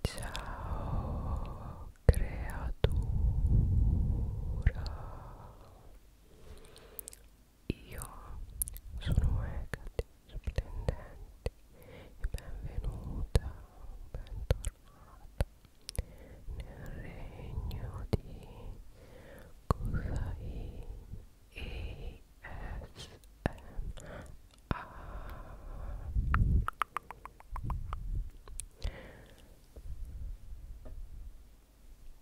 Ciao creatura Io sono Hecate Splendente benvenuta, bentornata nel regno di Kusai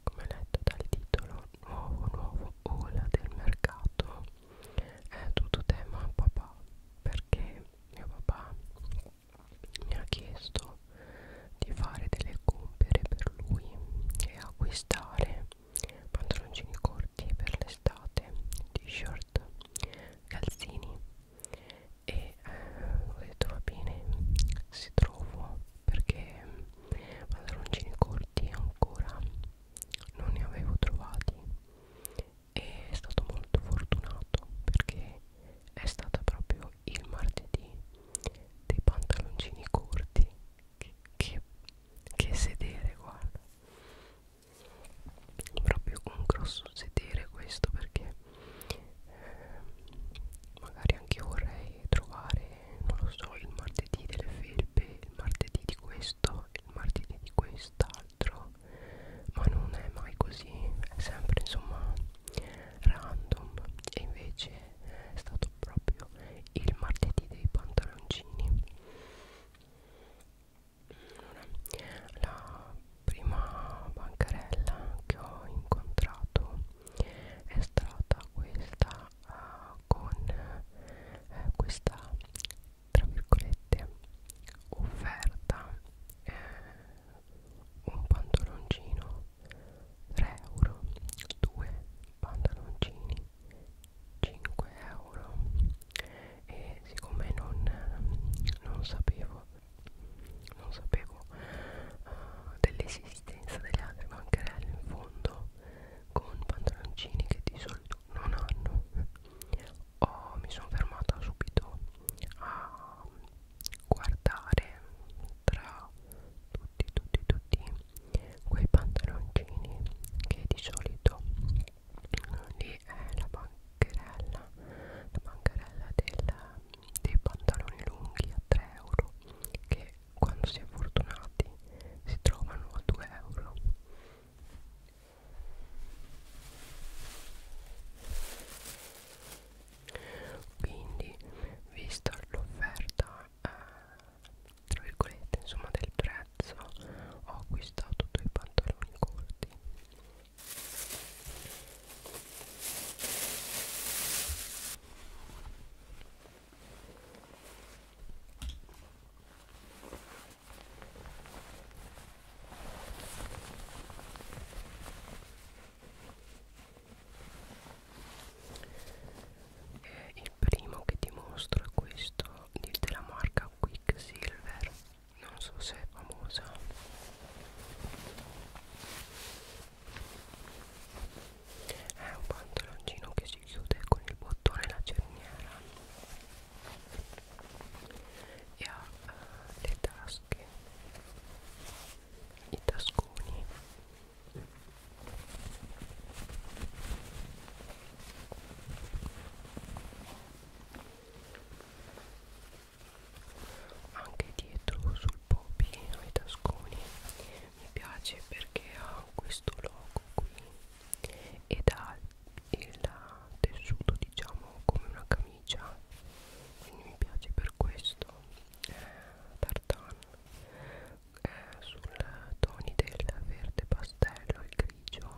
come letto dal titolo nuovo nuovo ola del mercato è tutto tema papà perché mio papà mi ha chiesto di fare delle compere per lui e acquistare pantaloncini corti per le estate t-shirt calzini e eh, ho detto va bene se trovo perché pantaloncini corti ancora non ne avevo trovati e è stato molto fortunato perché è stata proprio il martedì dei pantaloncini corti che, che, che sedere guarda proprio un grosso sedere questo perché eh, magari anche io vorrei trovare non lo so il martedì delle felpe il martedì di questo il martedì di quest'altro ma non è mai così è sempre insomma random e invece è stato proprio il martedì dei pantaloncini allora, la prima bancarella che ho incontrato è stata questa uh, con uh, questa tra virgolette offerta eh, un pantaloncino 3 euro 2 pantaloncini 5 euro e siccome non, non sapevo non sapevo uh, dell'esistenza delle altre bancarelle in fondo con pantaloncini che di solito non hanno oh, mi sono fermata subito a guardare tra tutti tutti tutti quei pantaloncini che di solito lì è eh, la bancherella la bancherella del, dei pantaloni lunghi a 3 euro che quando si è fortunati si trovano a 2 euro quindi vista l'offerta eh, tra virgolette insomma del 3 mezza ho acquistato due pantaloni corti e il primo che ti mostro è questo della marca Quicksilver non so se è famosa è un pantaloncino che si chiude con il bottone e la cerniera e ha uh, le tasche i tasconi anche dietro sul popi ai tasconi mi piace perché ha questo logo qui ed ha il tessuto diciamo come una camicia quindi mi piace per questo eh, tartan eh, sul toni del verde pastello il grigio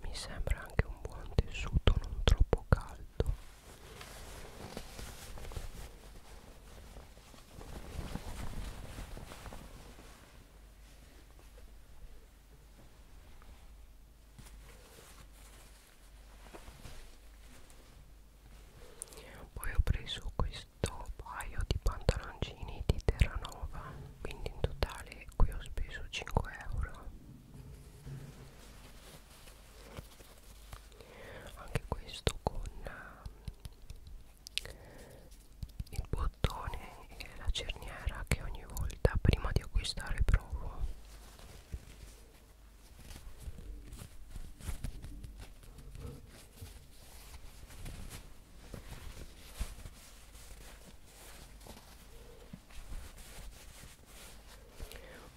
mi sembra anche un buon tessuto non troppo caldo poi ho preso questo paio di pantaloncini di Terranova quindi in totale qui ho speso 5 euro anche questo con uh, il bottone e la cerniera che ogni volta prima di acquistare provo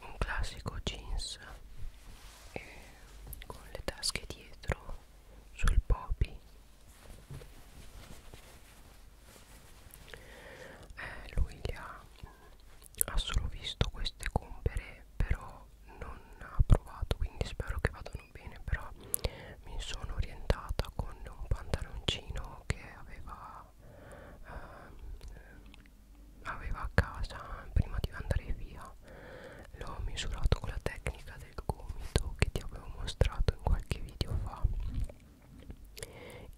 un classico jeans eh, con le tasche dietro sul popi eh, lui li ha, mm, ha solo visto queste compere però non ha provato quindi spero che vadano bene però mi sono orientata con un pantaloncino che aveva eh, aveva a casa prima di andare via l'ho misurato con la tecnica del gomito che ti avevo mostrato in qualche video fa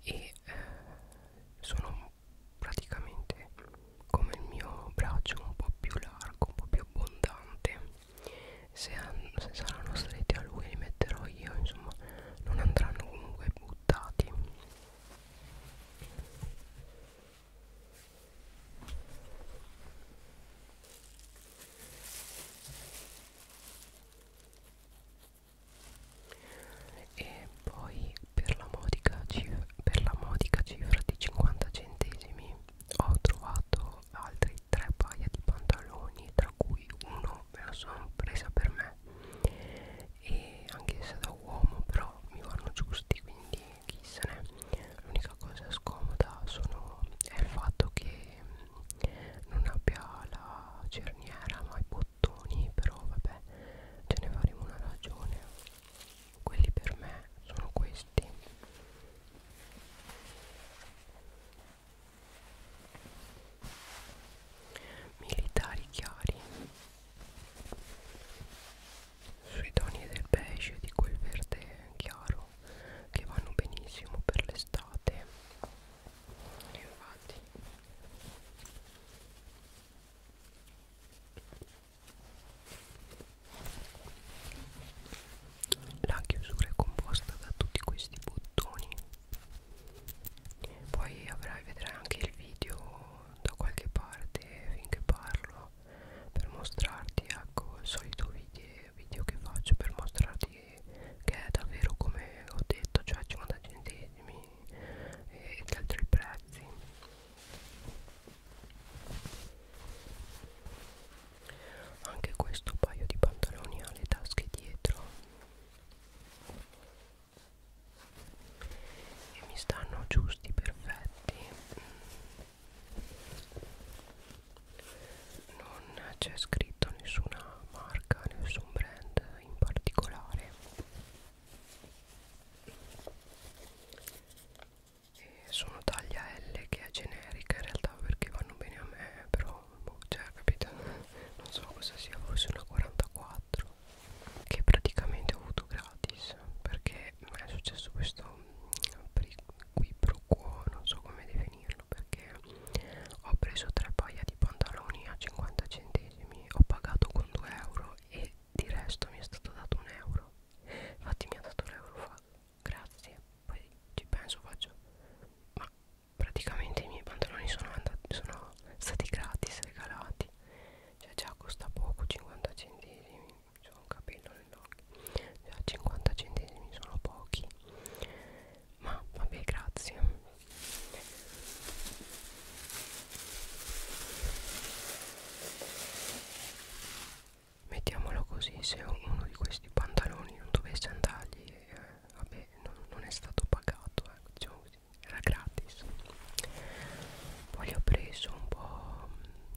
e eh, sono praticamente come il mio braccio un po' più largo un po' più abbondante se, se saranno stretti a lui li metterò io insomma non andranno comunque buttati e poi per la modica cifra, per la modica cifra di 50 centesimi ho trovato altri tre paia di pantaloni tra cui uno me la sono presa per me e anche se da uomo però mi vanno giusti quindi chi se ne l'unica cosa scomoda sono, è il fatto che non abbia la cerniera ma i bottoni però vabbè ce ne faremo una ragione quelli per me sono questi militari chiari sui toni del beige e di quel verde chiaro che vanno benissimo per l'estate infatti la chiusura è composta da tutti questi bottoni poi avrai vedrai anche il video da qualche parte finché parlo per mostrarti ecco il solito video, video che faccio per mostrarti che, che è davvero come ho detto cioè 50 centesimi e gli altri prezzi anche questo paio di pantaloni ha le tasche dietro e mi stanno giusti perfetti non c'è scritto nessuna marca, nessun brand in particolare e sono taglia L che è generica in realtà perché vanno bene a me però boh, cioè capito non so cosa sia forse una 44 che praticamente ho avuto gratis perché mi è successo questo mm, qui pro quo non so come definirlo perché ho preso tre paia di pantaloni a 50 centesimi ho pagato con 2 euro e di resto mi è stato dato un euro infatti mi ha dato l'euro fa grazie poi ci penso faccio ma praticamente i miei pantaloni sono, andati, sono stati gratis regalati cioè già costa poco 50 centesimi c'ho un capello nell'occhio già 50 centesimi sono pochi ma vabbè grazie mettiamolo così se uno di questi pantaloni non dovesse andargli eh, vabbè non, non è stato pagato eh, diciamo così, era gratis poi ho preso un po'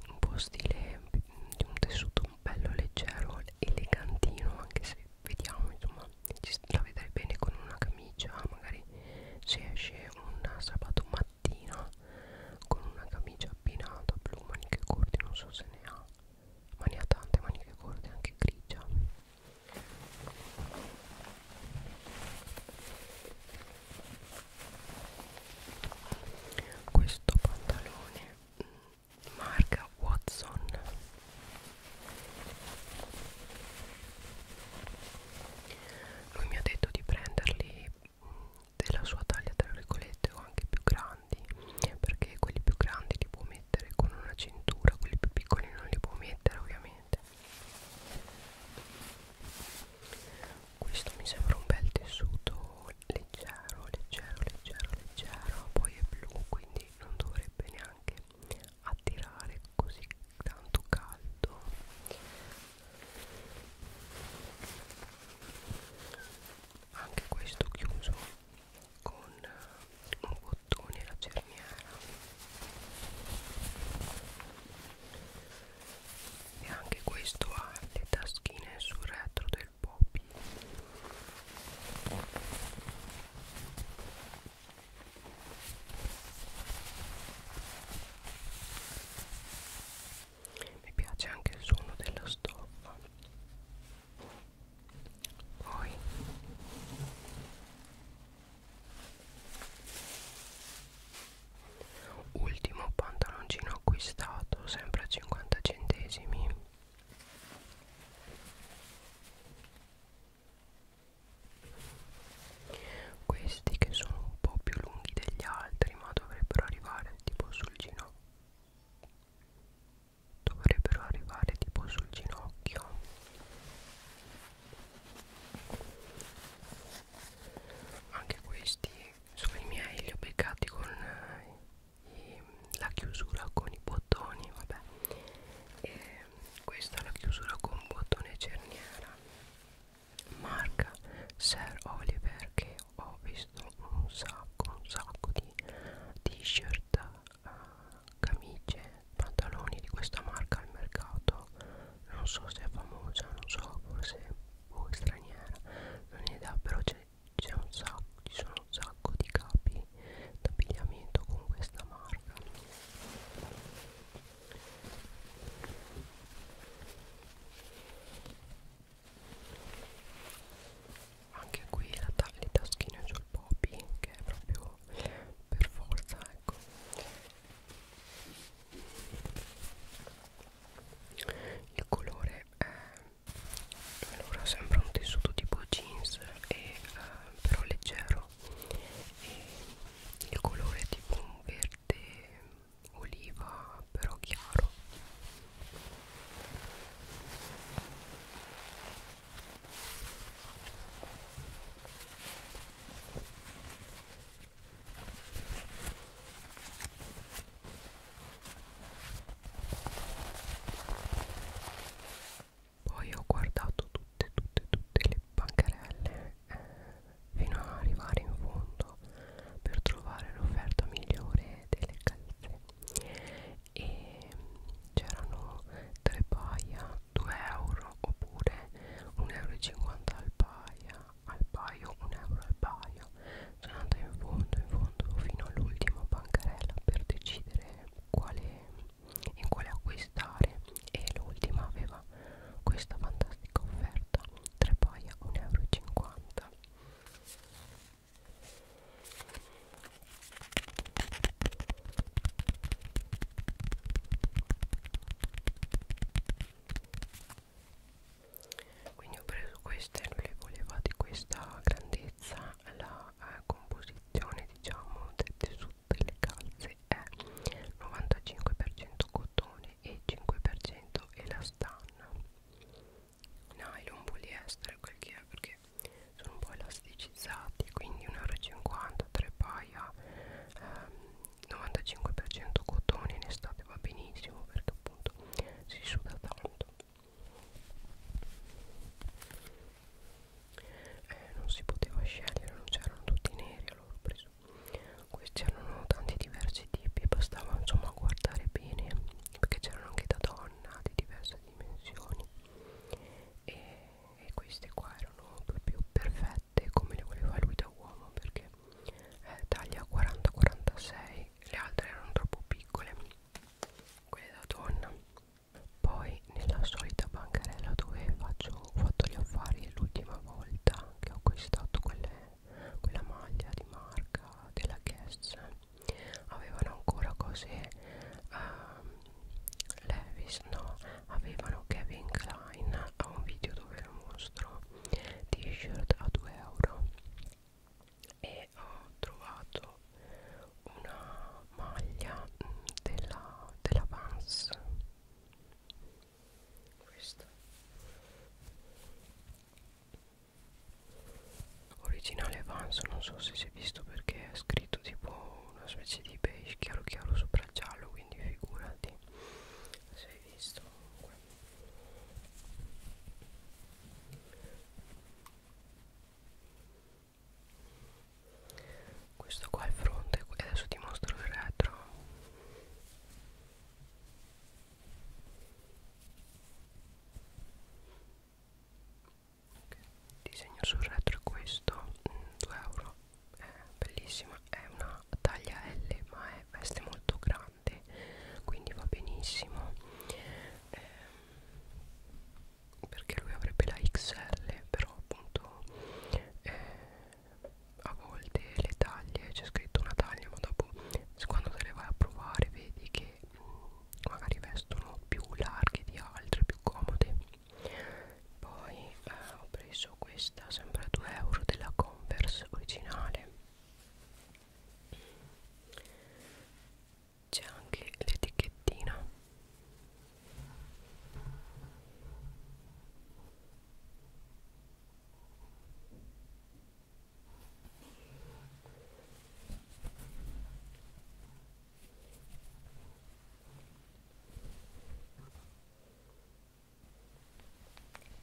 un po' stile mm, di un tessuto bello leggero elegantino anche se vediamo insomma ci, la vedrai bene con una camicia magari se esce un sabato mattina con una camicia abbinata blu maniche corte non so se ne ha ma ne ha tante maniche corte anche grigia questo pantalone mm, marca Watson lui mi ha detto di prenderli mm, della sua taglia tra virgolette o anche più grandi perché quelli più grandi li può mettere con una cintura quelli più piccoli non li può mettere ovviamente questo mi sembra un bel tessuto leggero leggero leggero leggero poi è blu quindi quindi non dovrebbe neanche attirare così tanto caldo anche questo chiuso con eh, un bottone la cerniera e anche questo ha le taschine sul retro del poppy mi piace anche il suono della stoffa poi ultimo pantaloncino acquistato sempre a 50 centesimi questi che sono un po' più lunghi degli altri ma dovrebbero arrivare tipo sul ginocchio dovrebbero arrivare tipo sul ginocchio anche questi sono i miei li ho beccati con eh, e la chiusura con i bottoni vabbè e questa è la chiusura con bottone cerniera marca Sir Oliver che ho visto un sacco un sacco di t-shirt uh, camicie pantaloni di questa marca al mercato non so se è famosa non so forse o boh, straniera non ne dà però c'è c'è un sacco ci sono un sacco di capi d'abbigliamento con questa marca anche qui la ta le taschine sul poppy che è proprio per forza ecco il colore è allora sembra un tessuto tipo jeans e, eh, però leggero e il colore è tipo un verde oliva però chiaro poi ho guardato tutte tutte tutte le bancarelle eh, fino a arrivare in fondo per trovare l'offerta migliore delle calze e c'erano tre paia 2 euro oppure 1,50 euro al paia al paio 1 euro al paio sono andata in fondo, in fondo fino all'ultima bancarella per decidere quale, in quale acquistare e l'ultima aveva questa fantastica offerta 3 paia 1,50 euro quindi ho preso queste, lui voleva di questa grandezza ma la eh, composizione diciamo del tessuto delle calze è 95% cotone e 5% elastano nylon poliestere quel che è perché sono un po' elasticizzati quindi 1,50 3 paia ehm, 95% cotone in estate va benissimo perché appunto si suda tanto eh, non si poteva scegliere non c'erano tutti neri allora ho preso questi erano tanti diversi tipi bastava insomma guardare bene perché c'erano anche da donna di diverse dimensioni e, e queste qua erano proprio perfette come le voleva lui da uomo perché eh, taglia 40-46 le altre erano troppo piccole quelle da donna poi nella solita bancarella dove faccio, ho fatto gli affari l'ultima volta che ho acquistato quelle, quella maglia di marca della Guess avevano ancora cose um, Levis no avevano Kevin Klein ho un video dove lo mostro t-shirt a 2 euro e ho trovato una maglia mm, della, della Vans questa originale Vans non so se si è visto perché è scritto tipo una specie di beige chiaro chiaro sopra il giallo quindi figurati se hai visto comunque questo qua è il fronte e adesso ti mostro il retro okay. il disegno sul retro è questo 2 euro è bellissima è una taglia L ma è veste molto grande grande quindi va benissimo eh, perché lui avrebbe la XL però appunto eh, a volte le taglie c'è scritto una taglia ma dopo quando te le vai a provare vedi che mh, mm, magari vestono più larghe di altre più comode poi eh, ho preso questa sempre a 2 euro della Converse originale c'è anche l'etichettina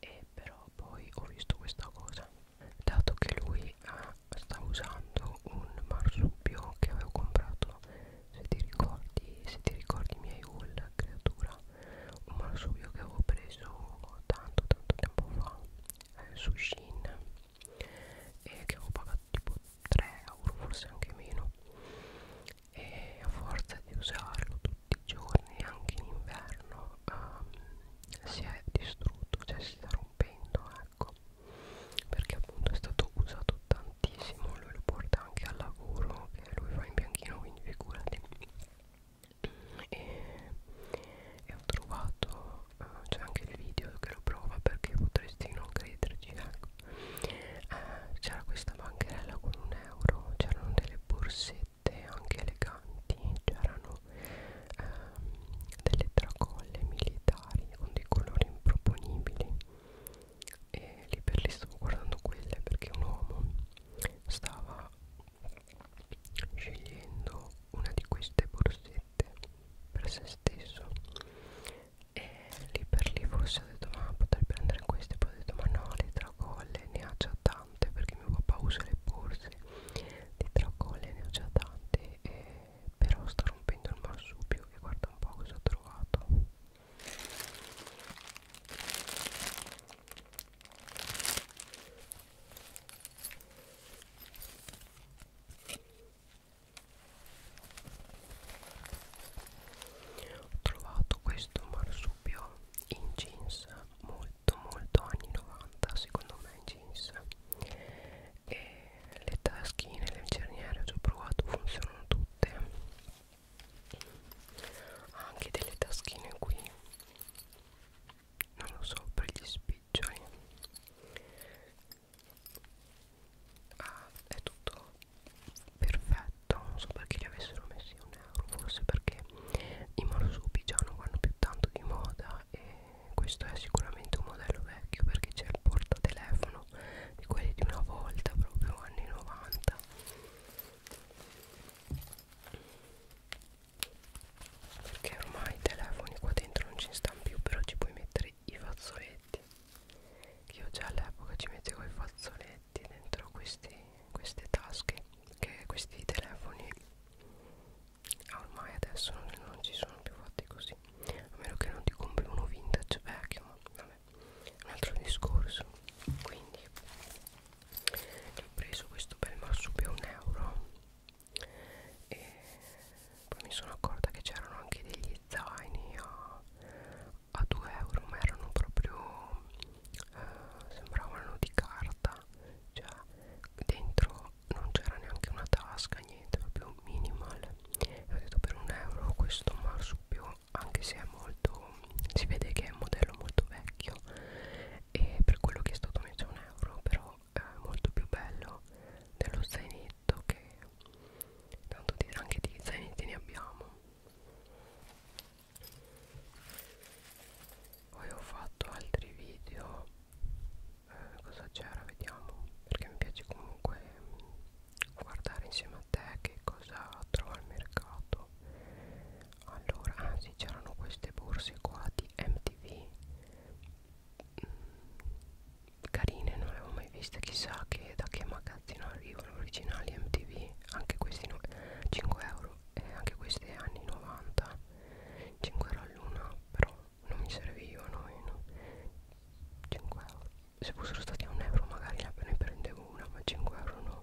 e però poi ho visto questa cosa dato che lui ha, ah, sta usando un marsupio che avevo comprato se ti ricordi se ti ricordi i miei haul creatura un marsupio che avevo preso tanto tanto tempo fa eh, su Shein e che avevo pagato tipo 3 euro forse anche meno e a forza di usarlo tutti i giorni anche in inverno um, si è distrutto cioè si sta rompendo ecco perché appunto è stato usato tantissimo lui lo porta anche al lavoro che lui fa in bianchino quindi figurati e, e ho trovato uh, c'è anche il video che lo prova perché potresti non crederci ecco eh, c'era questa bancherella con un euro c'erano delle borsette bacchette anche eleganti c'erano ehm, delle tracolle militari con dei colori improponibili e lì per lì stavo guardando quelle perché un uomo stava scegliendo una di queste borsette per se stesso e lì per lì forse ho detto ma potrei prendere queste poi ho detto ma no le tracolle ne ha già tante tante perché mio papà usa le borse di tracolle ne ho già tante eh, però sta rompendo il marsupio e guarda un po' cosa ho trovato ho trovato questo marsupio in jeans molto detto molto anni 90 secondo me in jeans e le taschine, le cerniere ho provato funzionano tutte anche delle taschine qui non lo so per gli spiccioli ah, è tutto perfetto non so perché li avessero messi un euro forse perché i marsupi già non vanno più tanto di moda e questo è sicuramente un modello vecchio perché c'è il portatelefono di quelli di una volta proprio anni 90 perché ormai i telefoni qua dentro non ci stanno più però ci puoi mettere i fazzoletti che io già all'epoca ci mettevo i fazzoletti dentro questi, queste tasche che questi telefoni ah, ormai adesso non, non ci sono più fatti così a meno che non ti compri uno vintage vecchio ma vabbè un altro discorso quindi ho preso questo bel marsupio a un euro e poi mi sono accorta che c'erano anche degli zaini a, a 2 euro ma erano proprio eh, sembravano di carta realtà cioè dentro non c'era neanche una tasca niente proprio minimal e ho detto per un euro questo marsupio anche se è molto si vede che è un modello molto vecchio e per quello che è stato messo un euro però è molto più bello dello zainetto che tanto anche di zainetti ne abbiamo poi ho fatto altri video eh, cosa c'era vediamo perché mi piace comunque mh, mm, guardare insieme a te che cosa trova al mercato allora ah sì c'erano queste borse qua di MTV mh, mm, carine non le avevo mai viste chissà che da che magazzino arrivano originali MTV anche questi no, 5 euro eh, anche queste anni 90 5 euro all'una però non mi servivano e no. 5 euro se fossero stati a un euro magari ne prendevo una ma 5 euro no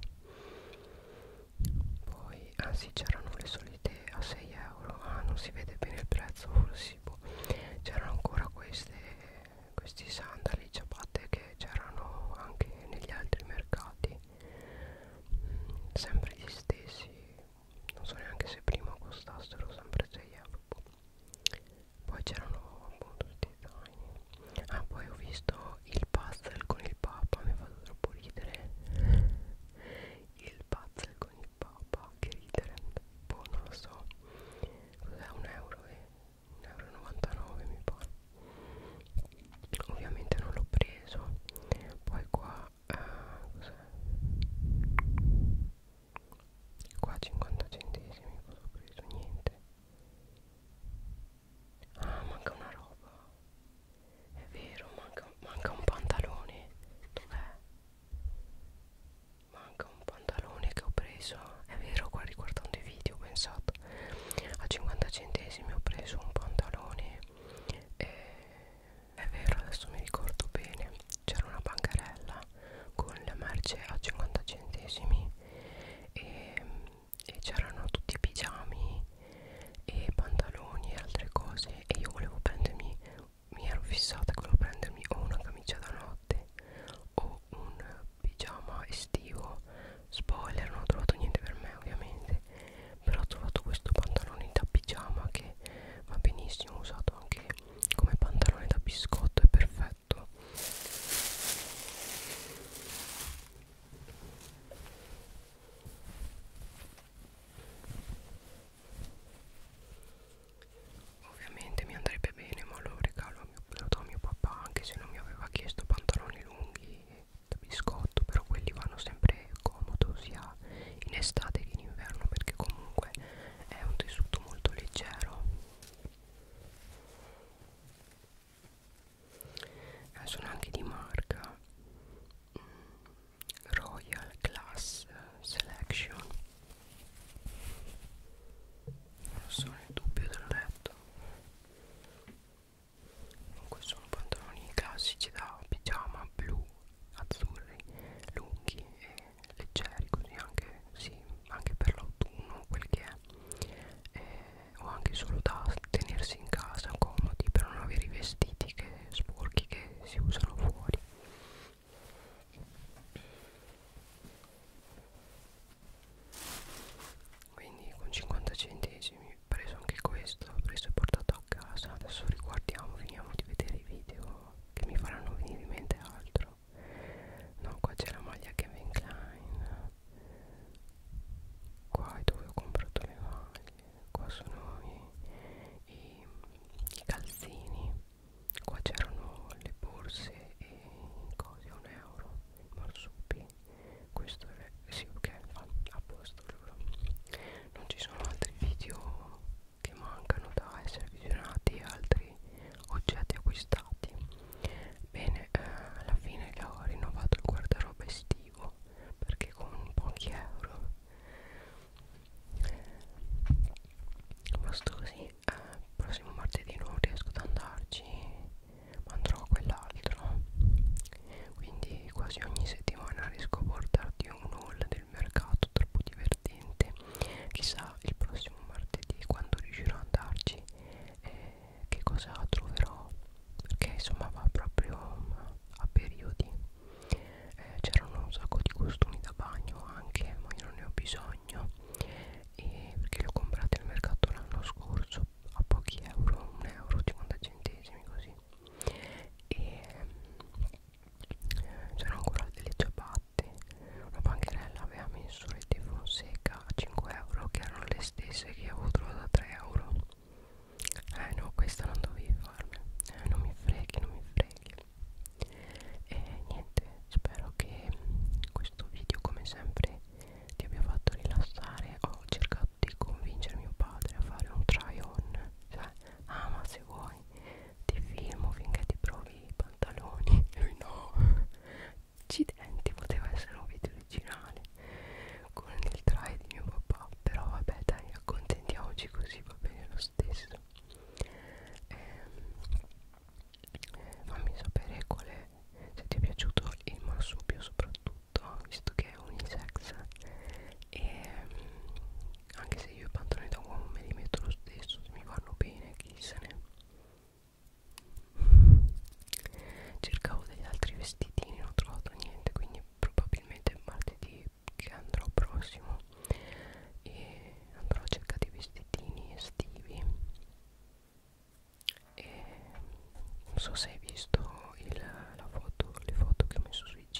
poi ah sì c'erano le solite a 6 euro ah non si vede bene il prezzo forse boh. c'erano ancora queste questi sandali ciabatte che c'erano anche negli altri mercati sempre gli stessi non so neanche se prima costassero sempre 6 euro poi c'erano appunto tutti i tiny ah poi ho visto il puzzle con il papa mi ha fatto troppo ridere il puzzle con il papa che ridere boh non lo so cos'è un euro e eh. un euro 99 mi pare ovviamente non l'ho preso poi qua uh, cos'è qua 50 centesimi cosa ho preso niente ah manca una roba è vero manca, manca un pantalone dov'è manca un pantalone che ho preso è vero qua riguardando i video ho pensato esatto a 50 centesimi ho preso un pantalone e è vero adesso mi ricordo bene c'era una bancarella con la merce a 50 centesimi e, e c'erano tutti i pigiami e pantaloni e altre cose e io volevo prendermi mi ero fissata che volevo prendermi o una camicia da notte o un pigiama estivo spoiler non ho trovato niente per me ovviamente però ho trovato questo pantalone da pigiama che va benissimo usato anche come pantalone da biscotto è perfetto Ovviamente mi andrebbe bene, ma lo regalo a mio, lo do a mio papà anche se non mi aveva chiesto pantaloni lunghi e da biscotto però quelli vanno sempre comodo sia in estate che in inverno perché comunque è un tessuto molto leggero eh, sono anche di marca mm, Royal Class Selection non so nel dubbio del letto comunque sono pantaloni classici da pigiama blu azzurri lunghi e leggeri così anche, sì, anche per l'autunno quel che è eh, o anche solo da tenersi in casa comodi per non avere i vestiti che sporchi che si usano fuori quindi con 50 centesimi ho preso anche questo ho preso e portato a casa adesso riguardiamo finiamo di vedere i video che mi faranno venire in mente altro no qua c'è la maglia Kevin Klein qua è dove ho comprato le maglie qua sono i, i, i calzini qua c'erano le borse e i cosi a un euro i marsupi questo è sì ok fa a posto giuro non ci sono altri video che mancano da essere visionati altri oggetti acquistati bene eh, alla fine che ho rinnovato il guardaroba estivo perché con pochi euro basta così eh, prossimo martedì non riesco ad andarci andrò a quell'altro quindi quasi ogni settimana riesco a portarti un haul del mercato troppo divertente chissà il prossimo martedì quando riuscirò ad andarci eh, che cosa troverò perché insomma va proprio a periodi eh, c'erano un sacco di costumi da bagno anche ma io non ne ho bisogno e perché li ho comprati al mercato l'anno scorso a pochi euro, un euro, 50 centesimi così e eh, c'erano ancora delle ciabatte una bancherella aveva messo le di Fonseca a 5 euro che erano le stesse che avevo trovato a 3 euro eh no questa non dovevi farla eh, non mi freghi non mi freghi e niente spero che questo video come sempre ti abbia fatto rilassare ho cercato di convincere mio padre a fare un try on cioè ah ma se vuoi ti filmo finché ti provi i pantaloni lui no accidenti poteva essere un video originale con il try di mio papà però vabbè dai accontentiamoci così va bene lo stesso ehm, fammi sapere quale se ti è piaciuto il marsupio soprattutto visto che è unisex e mm, anche se io i pantaloni da uomo me li metto lo stesso se mi vanno bene chi se ne cercavo degli altri vestitini non ho trovato niente quindi probabilmente martedì che andrò prossimo e andrò a cercare dei vestitini estivi e non so se hai visto il, la foto, le foto che ho messo su IG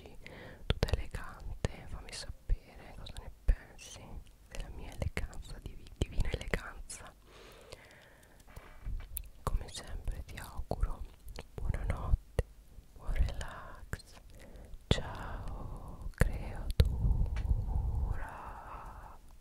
tutta elegante fammi sapere cosa ne pensi della mia eleganza div divina eleganza come sempre ti auguro buonanotte buon relax ciao creatura